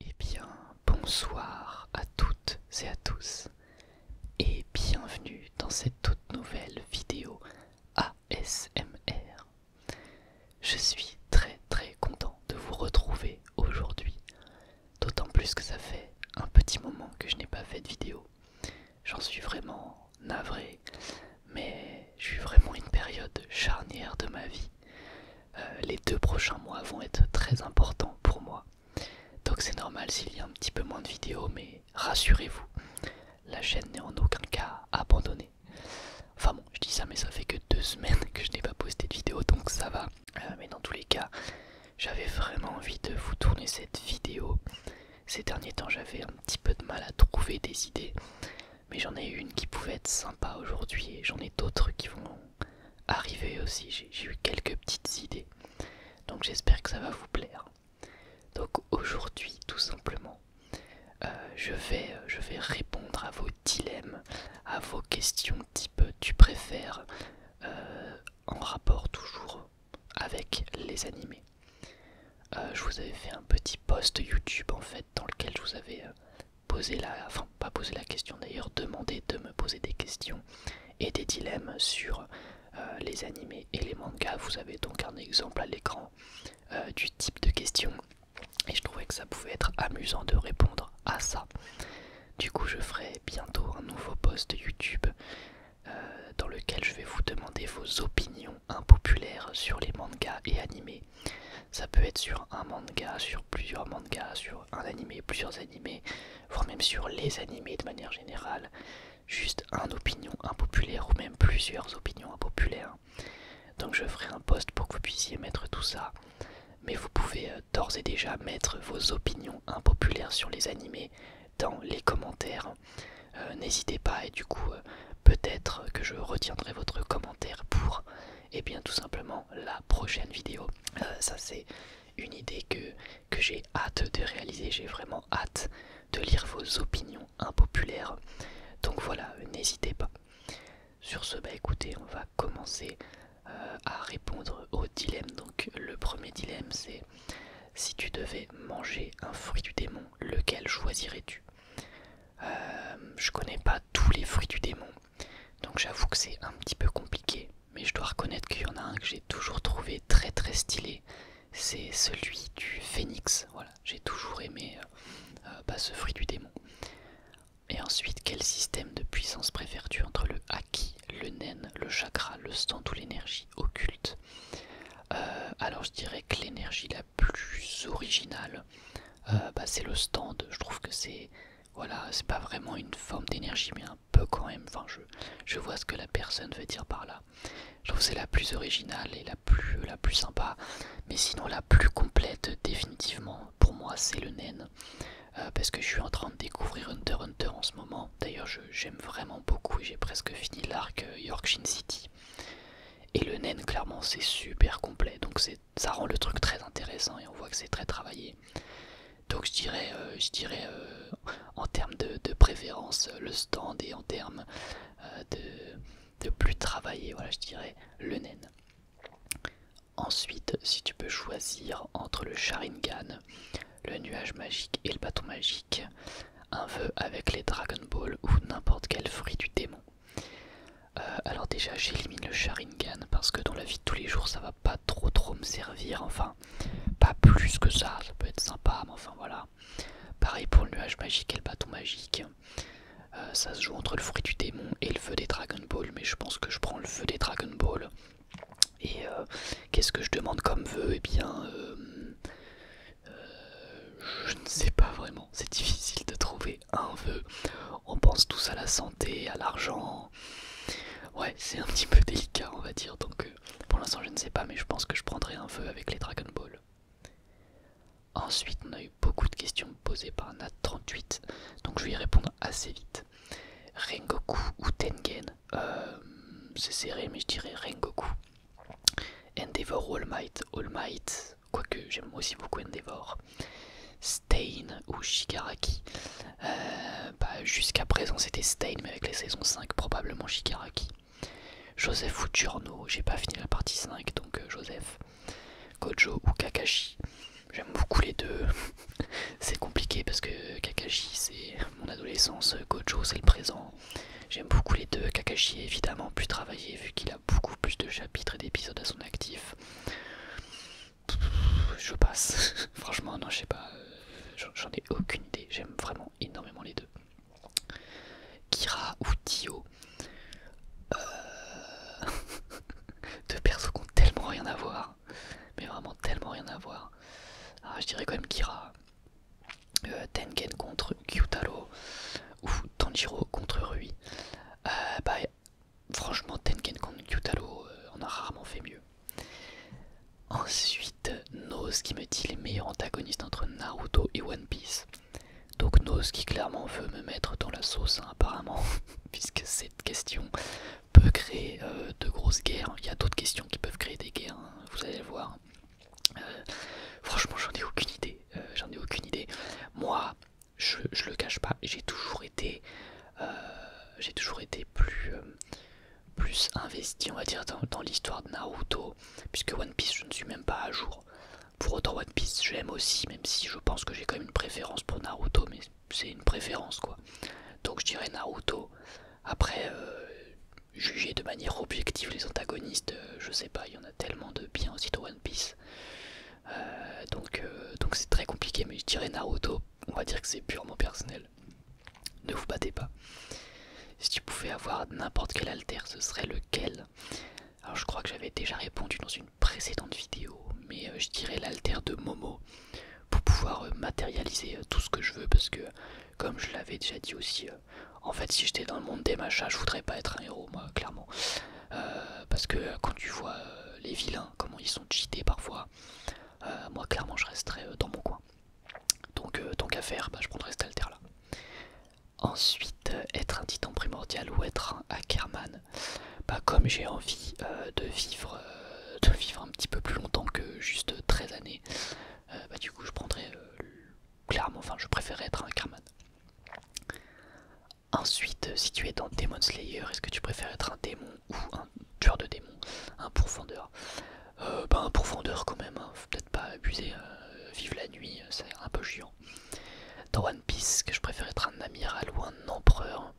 Eh bien, bonsoir à toutes et à tous et bienvenue dans cette toute nouvelle vidéo ASMR. Je suis très très content de vous retrouver aujourd'hui, d'autant plus que ça fait un petit moment que je n'ai pas fait de vidéo. J'en suis vraiment navré, mais j'ai suis vraiment une période charnière de ma vie. Euh, les deux prochains mois vont être très importants pour moi. Donc c'est normal s'il y a un petit peu moins de vidéos, mais rassurez-vous, la chaîne n'est en aucun cas abandonnée. Enfin bon, je dis ça, mais ça fait que deux semaines que je n'ai pas posté de vidéo, donc ça va. Euh, mais dans tous les cas, j'avais vraiment envie de vous tourner cette vidéo. Ces derniers temps, j'avais un petit peu de mal à trouver des idées, mais j'en ai une qui pouvait être sympa aujourd'hui et j'en ai d'autres qui vont arrivé aussi. J'ai eu quelques petites idées. Donc j'espère que ça va vous plaire. Donc aujourd'hui, tout simplement, euh, je, vais, euh, je vais répondre à vos dilemmes, à vos questions type tu préfères, euh, en rapport toujours avec les animés. je vous avais fait un petit post YouTube en fait dans lequel je vous avais poser la, enfin pas poser la question d'ailleurs, demander de me poser des questions et des dilemmes sur euh, les animés et les mangas. Vous avez donc un exemple à l'écran euh, du type de questions et je trouvais que ça pouvait être amusant de répondre à ça. Du coup, je ferai bientôt un nouveau post YouTube euh, dans lequel je vais vous demander vos opinions impopulaires sur les mangas et animés ça peut être sur un manga, sur plusieurs mangas, sur un animé, plusieurs animés, voire même sur les animés de manière générale. Juste un opinion impopulaire ou même plusieurs opinions impopulaires. Donc je ferai un post pour que vous puissiez mettre tout ça. Mais vous pouvez euh, d'ores et déjà mettre vos opinions impopulaires sur les animés dans les commentaires. Euh, n'hésitez pas et du coup euh, peut-être que je retiendrai votre commentaire pour et eh bien tout simplement la prochaine vidéo. Euh, ça c'est une idée que, j'ai hâte de réaliser. J'ai vraiment hâte de lire vos opinions impopulaires. Donc voilà, n'hésitez pas. Sur ce, bah écoutez, on va commencer euh, à répondre au dilemme. Donc le premier dilemme c'est si tu devais manger un fruit du démon, lequel choisirais-tu euh, Je connais pas tous les fruits du démon. Donc j'avoue que c'est un petit peu compliqué, mais je dois reconnaître qu'il y en a un que j'ai toujours trouvé très très stylé. C'est celui du phénix. Voilà, j'ai toujours aimé euh, euh, bah, ce fruit du démon. Et ensuite, quel système de puissance préfères-tu entre le haki, le nen, le chakra, le stand ou l'énergie occulte euh, Alors je dirais que l'énergie la plus originale, euh, bah, c'est le stand. Je trouve que c'est voilà, c'est pas vraiment une forme d'énergie, mais un peu quand même. Enfin, je, je vois ce que la personne veut dire par là. Je trouve c'est la plus originale et la plus, la plus sympa, mais sinon la plus complète définitivement pour moi c'est le Nen euh, parce que je suis en train de découvrir Hunter Hunter en ce moment. D'ailleurs, j'aime vraiment beaucoup et j'ai presque fini l'arc euh, Yorkshire City. Et le Nen clairement, c'est super complet. Donc, c'est ça rend le truc très intéressant et on voit que c'est très travaillé. Donc je dirais, euh, je dirais euh, en termes de, préférence euh, le stand et en termes de, plus travaillé, voilà, je dirais le naine. Ensuite, si tu peux choisir entre le Sharingan, le nuage magique et le bâton magique, un vœu avec les Dragon Balls ou n'importe quel fruit du démon. Euh, alors déjà j'élimine le Sharingan parce que dans la vie de tous les jours ça va pas trop trop me servir, enfin pas plus que ça, ça peut être sympa mais enfin voilà. Pareil pour le nuage magique et le bâton magique, euh, ça se joue entre le fruit du démon et le feu des Dragon Ball mais je pense que je prends le feu des Dragon Ball. Et euh, qu'est-ce que je demande comme vœu et eh bien... je ne sais pas vraiment, c'est difficile de trouver un vœu. On pense tous à la santé, à l'argent. Ouais, c'est un petit peu délicat, on va dire. Donc, euh, pour l'instant, je ne sais pas, mais je pense que je prendrai un vœu avec les Dragon Ball. Ensuite, on a eu beaucoup de questions posées par Nat38, donc je vais y répondre assez vite. Rengoku ou Tengen euh, C'est serré, mais je dirais Rengoku. Endeavor All Might. All Might, quoique j'aime aussi beaucoup Endeavor, Stain ou Shigaraki. Euh, bah, jusqu'à présent c'était Stain, mais avec la saison 5, probablement Shigaraki. Joseph ou Turno, j'ai pas fini la partie 5, donc euh, Joseph. Gojo ou Kakashi. J'aime beaucoup les deux. c'est compliqué parce que Kakashi c'est mon adolescence, Gojo c'est le présent. J'aime beaucoup les deux. Kakashi évidemment plus travaillé vu qu'il a beaucoup plus de chapitres et d'épisodes à son actif. Je passe. Franchement, non, je sais pas. Euh, j'en ai aucune idée. J'aime vraiment énormément les deux. Kira ou Tio. Euh, deux persos qui ont tellement rien à voir. Mais vraiment tellement rien à voir. Ah, je dirais quand même Kira. Euh, Tenken contre Kyutaro. Ou Tanjiro contre Rui. Euh, bah, franchement, Tenken contre Kyutaro, euh, on a rarement fait mieux. Ensuite, Nose qui me dit les meilleurs antagonistes entre Naruto et One Piece. Donc Nose qui clairement veut me mettre dans la sauce hein, apparemment, puisque cette question peut créer euh, de grosses guerres. Il y a d'autres questions qui peuvent créer des guerres, hein, vous allez le voir. franchement, j'en ai aucune idée. j'en ai aucune idée. Moi, je, le cache pas, j'ai toujours été, euh, euh, plus, investi, on va dire, dans, l'histoire de Naruto, puisque One Piece, je ne suis même pas à jour. Pour autant, One Piece, j'aime aussi, même si je pense que j'ai quand même une préférence pour Naruto, mais c'est une préférence quoi. Donc je dirais Naruto. Après, euh, juger de manière objective les antagonistes, je sais pas, il y en a tellement de bien aussi dans One Piece. Euh, euh, donc c'est très compliqué, mais je dirais Naruto, on va dire que c'est purement personnel. Ne vous battez pas. Si tu pouvais avoir n'importe quel alter, ce serait lequel Alors je crois que j'avais déjà répondu dans une précédente vidéo, mais euh, je dirais l'alter de Momo pour pouvoir matérialiser tout ce que je veux parce que comme je l'avais déjà dit aussi en fait, si j'étais dans le monde des machas, je voudrais pas être un héros, moi, clairement. Euh, parce que quand tu vois euh, les vilains, comment ils sont cheatés parfois, euh, moi, clairement, je resterais dans mon coin. Donc, tant qu'à faire, bah, je prendrais cette alter là. Ensuite, être un titan primordial ou être un hackerman. Bah, comme j'ai envie de, vivre, de vivre un petit peu plus longtemps que juste 13 années, bah, du coup, je prendrais clairement, enfin, je préférais être un Karman. Ensuite, euh, si tu es dans Demon Slayer, est-ce que tu préfères être un démon ou un tueur de démon, Un profondeur. ben, Un pourfendeur quand même, hein. peut-être pas abuser, euh, vive vivre la nuit, c'est un peu chiant. Dans One Piece, que je préfère être un amiral ou un empereur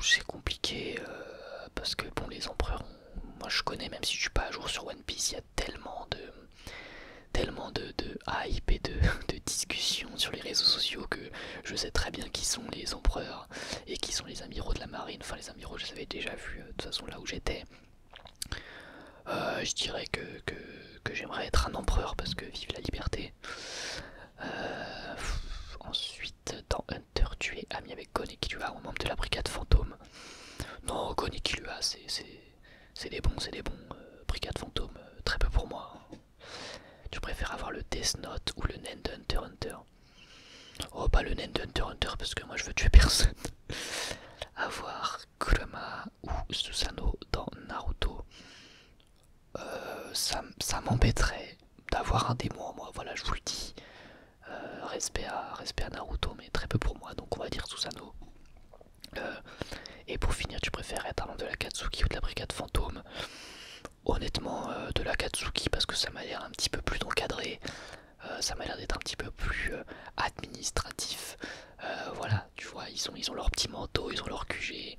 C'est compliqué, parce que bon, les empereurs, moi je connais, même si je suis pas à jour sur One Piece, il y a tellement de tellement de, hype et de, discussions sur les réseaux sociaux que je sais très bien qui sont les empereurs et qui sont les amiraux de la marine. Enfin, les amiraux, je les avais déjà vus euh, de toute façon là où j'étais. Euh, je dirais que, que, j'aimerais être un empereur parce que vive la liberté. Euh, ensuite, dans Hunter, tu es ami avec Gon et au membre de la brigade fantôme. Non, Gon et c'est c'est des bons, c'est des bons. Euh, Brigade fantôme, euh, très peu pour moi. Hein. Tu préfères avoir le Death Note ou le de Hunter Hunter Oh, pas le de Hunter Hunter parce que moi je veux tuer personne. avoir Kurama ou Susanoo dans Naruto, euh, ça, m'embêterait d'avoir un démon en moi, voilà, je vous le dis. respect, à, respect à Naruto, mais très peu pour moi, donc on va dire Susano. Euh, et pour finir, tu préfères être allant de la Katsuki ou de la brigade fantôme Honnêtement, euh, de la Katsuki parce que ça m'a l'air un petit peu plus encadré, euh, ça m'a l'air d'être un petit peu plus administratif. voilà, tu vois, ils ont, leur petit manteau, ils ont leur QG.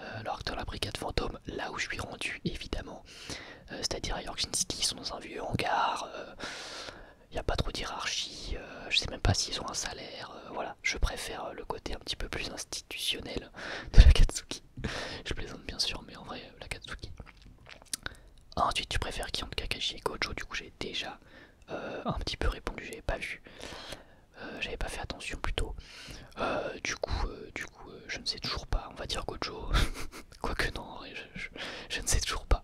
leur alors que la brigade fantôme, là où je suis rendu, évidemment, c'est-à-dire à York ils sont dans un vieux hangar il n'y a pas trop d'hierarchie, je euh, je sais même pas s'ils ont un salaire, euh, voilà, je préfère euh, le côté un petit peu plus institutionnel de la Katsuki. je plaisante bien sûr, mais en vrai, la Katsuki. ensuite, tu préfères qui entre Kakashi et Gojo Du coup, j'ai déjà un petit peu répondu, j'ai pas vu, j'avais pas fait attention plutôt. du coup, du coup je ne sais toujours pas, on va dire Gojo, quoique non, je ne sais toujours pas.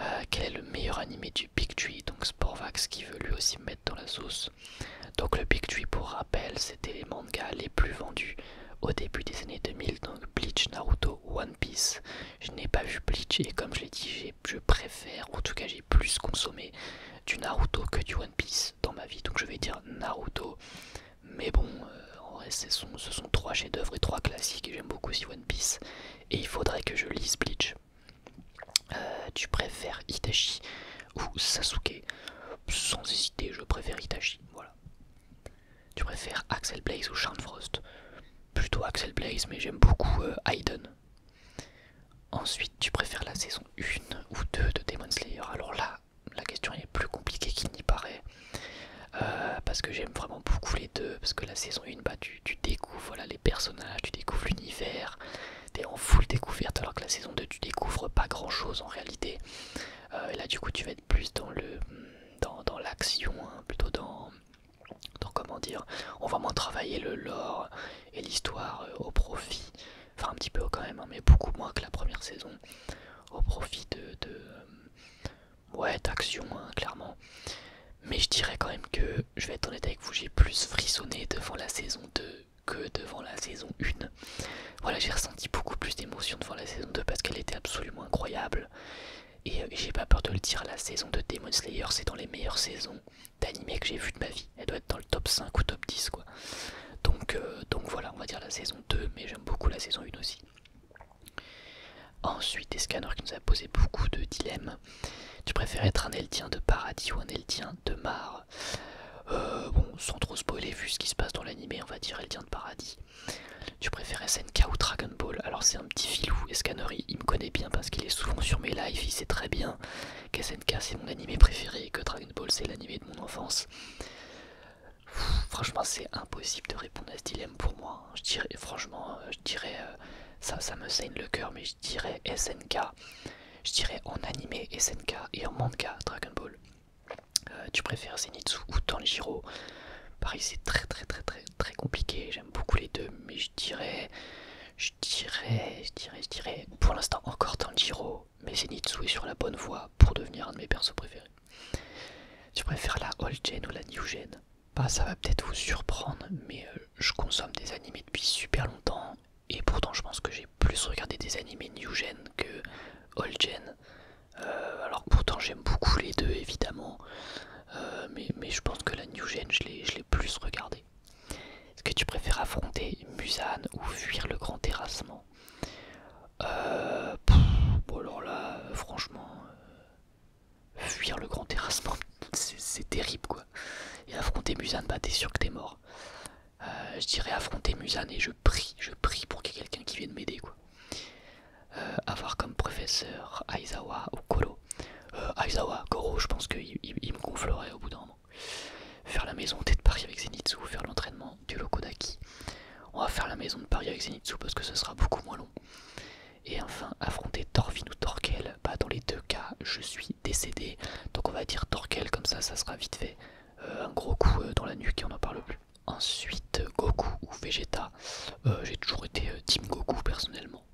Euh, quel est le meilleur animé du Big Tree Donc Sportvax qui veut lui aussi mettre dans la sauce. Donc le Big Tree, pour rappel, c'était les mangas les plus vendus au début des années 2000. Donc Bleach, Naruto, One Piece. Je n'ai pas vu Bleach et comme je l'ai dit, je préfère, en tout cas j'ai plus consommé du Naruto que du One Piece dans ma vie. Donc je vais dire Naruto. Mais bon, euh, en ce sont, trois chefs-d'œuvre et trois classiques, et j'aime beaucoup aussi One Piece. Et il faudrait que je lise Bleach. Euh, tu préfères Itachi ou Sasuke Sans hésiter, je préfère Itachi. Voilà. Tu préfères Axel Blaze ou Charles Frost Plutôt Axel Blaze, mais j'aime beaucoup euh, Ensuite, tu préfères la saison 1 ou 2 de Demon Slayer Alors là, la question est plus compliquée qu'il n'y paraît. Euh, parce que j'aime vraiment beaucoup les deux, parce que la saison 1, bah, tu, découvres voilà, les personnages, tu découvres l'univers, t'es en full découverte, alors que la saison 2, tu découvres pas grand chose en réalité. Euh, et là, du coup, tu vas être plus dans le dans, l'action, hein, plutôt dans, comment dire, on va moins travailler le lore et l'histoire euh, au profit, enfin un petit peu quand même, hein, mais beaucoup moins que la première saison, au profit de ouais d'action hein, clairement mais je dirais quand même que je vais être honnête avec vous j'ai plus frissonné devant la saison 2 que devant la saison 1 voilà j'ai ressenti beaucoup plus d'émotion devant la saison 2 parce qu'elle était absolument incroyable et, euh, j'ai pas peur de le dire la saison de Demon Slayer c'est dans les meilleures saisons d'animé que j'ai vu de ma vie elle doit être dans le top 5 ou top 10 quoi donc, euh, donc voilà on va dire la saison 2 mais j'aime beaucoup la saison 1 aussi Ensuite, Escanor qui nous a posé beaucoup de dilemmes. Tu préfères être un Eldien de paradis ou un Eldien de mar euh, Bon, sans trop spoiler, vu ce qui se passe dans l'anime, on va dire Eldien de paradis. Tu préfères SNK ou Dragon Ball Alors, c'est un petit filou. Et il, me connaît bien parce qu'il est souvent sur mes lives. Il sait très bien SNK c'est mon anime préféré et que Dragon Ball c'est l'anime de mon enfance franchement, c'est impossible de répondre à ce dilemme pour moi. Hein. Je dirais, franchement, euh, je dirais, euh, ça, me saigne le cœur, mais je dirais SNK. Je dirais en animé SNK et en manga Dragon Ball. Euh, tu préfères Zenitsu ou Tanjiro Pareil, c'est très très très très très compliqué. J'aime beaucoup les deux, mais je dirais, je dirais, je dirais, je dirais, pour l'instant encore Tanjiro, mais Zenitsu est sur la bonne voie pour devenir un de mes persos préférés. Tu préfères la old gen ou la new gen bah, ça va peut-être vous surprendre, mais euh, je consomme des animés depuis super longtemps et pourtant je pense que j'ai plus regardé des animés new gen que old gen. Euh, alors pourtant j'aime beaucoup les deux évidemment, euh, mais, je pense que la new gen je l'ai plus regardé. Est-ce que tu préfères affronter Musane ou fuir le grand terrassement Bon alors là franchement fuir le grand terrassement, c'est terrible quoi. Et affronter Musan, bah t'es sûr que t'es mort. Euh, je dirais affronter Musan et je prie, je prie pour qu'il y ait quelqu'un qui vienne m'aider quoi. Euh, avoir comme professeur Aizawa ou Koro. Euh, Aizawa, Koro, je pense qu'il il, me gonflerait au bout d'un moment. Faire la maison, T'es de Paris avec Zenitsu, faire l'entraînement du loco d'Aki. On va faire la maison de Paris avec Zenitsu parce que ce sera beaucoup moins long. Et enfin, affronter Torvin ou Torkel pas bah, dans les deux cas, je suis décédé. Donc on va dire Torkel comme ça, ça sera vite fait. Euh, un gros coup euh, dans la nuque et on n'en parle plus. Ensuite, Goku ou Vegeta. Euh, j'ai toujours été Team Goku personnellement.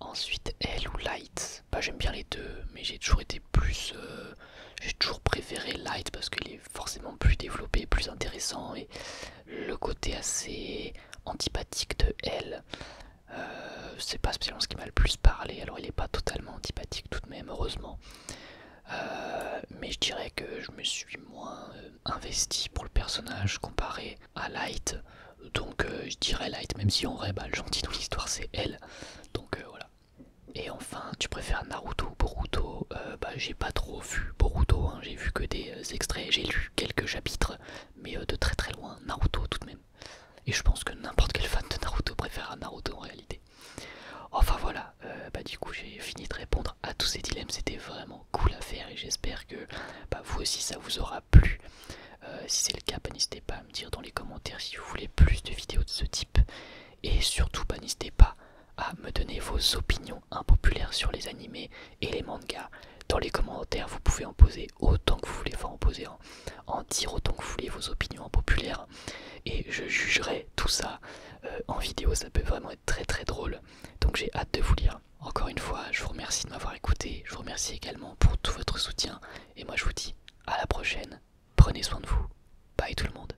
Ensuite, elle ou Light. Bah, J'aime bien les deux, mais j'ai toujours été plus. j'ai toujours préféré Light parce qu'il forcément plus développé, plus intéressant, et le côté assez antipathique de elle, euh, c'est pas spécialement ce qui m'a le plus parlé, alors il est pas totalement antipathique tout de même, heureusement. Euh, mais je dirais que je me suis moins euh, investi pour le personnage comparé à Light. Donc je dirais Light, même si on vrai bah, le gentil dans l'histoire c'est elle. Donc voilà. Et enfin, tu préfères Naruto Boruto, euh, bah, j'ai pas trop vu Boruto, hein. j'ai vu que des euh, extraits, j'ai lu quelques chapitres, mais euh, de très très loin, Naruto tout de même. Et je pense que n'importe quel fan de Naruto préfère Naruto en réalité. Enfin voilà, bah, du coup j'ai fini de répondre à tous ces dilemmes, c'était vraiment cool à faire et j'espère que bah, vous aussi ça vous aura plu. si c'est le cas, bah, n'hésitez pas à me dire dans les commentaires si vous voulez plus de vidéos de ce type. Et surtout, n'hésitez pas à me donner vos opinions impopulaire impopulaires sur les animés et les mangas. Dans les commentaires, vous pouvez en poser autant que vous voulez, faire en poser, en, dire autant que vous voulez vos opinions impopulaires. Et je jugerai tout ça euh, en vidéo, ça peut vraiment être très très drôle. Donc j'ai hâte de vous lire. Encore une fois, je vous remercie de m'avoir écouté, je vous remercie également pour tout votre soutien. Et moi je vous dis à la prochaine, prenez soin de vous. Bye tout le monde.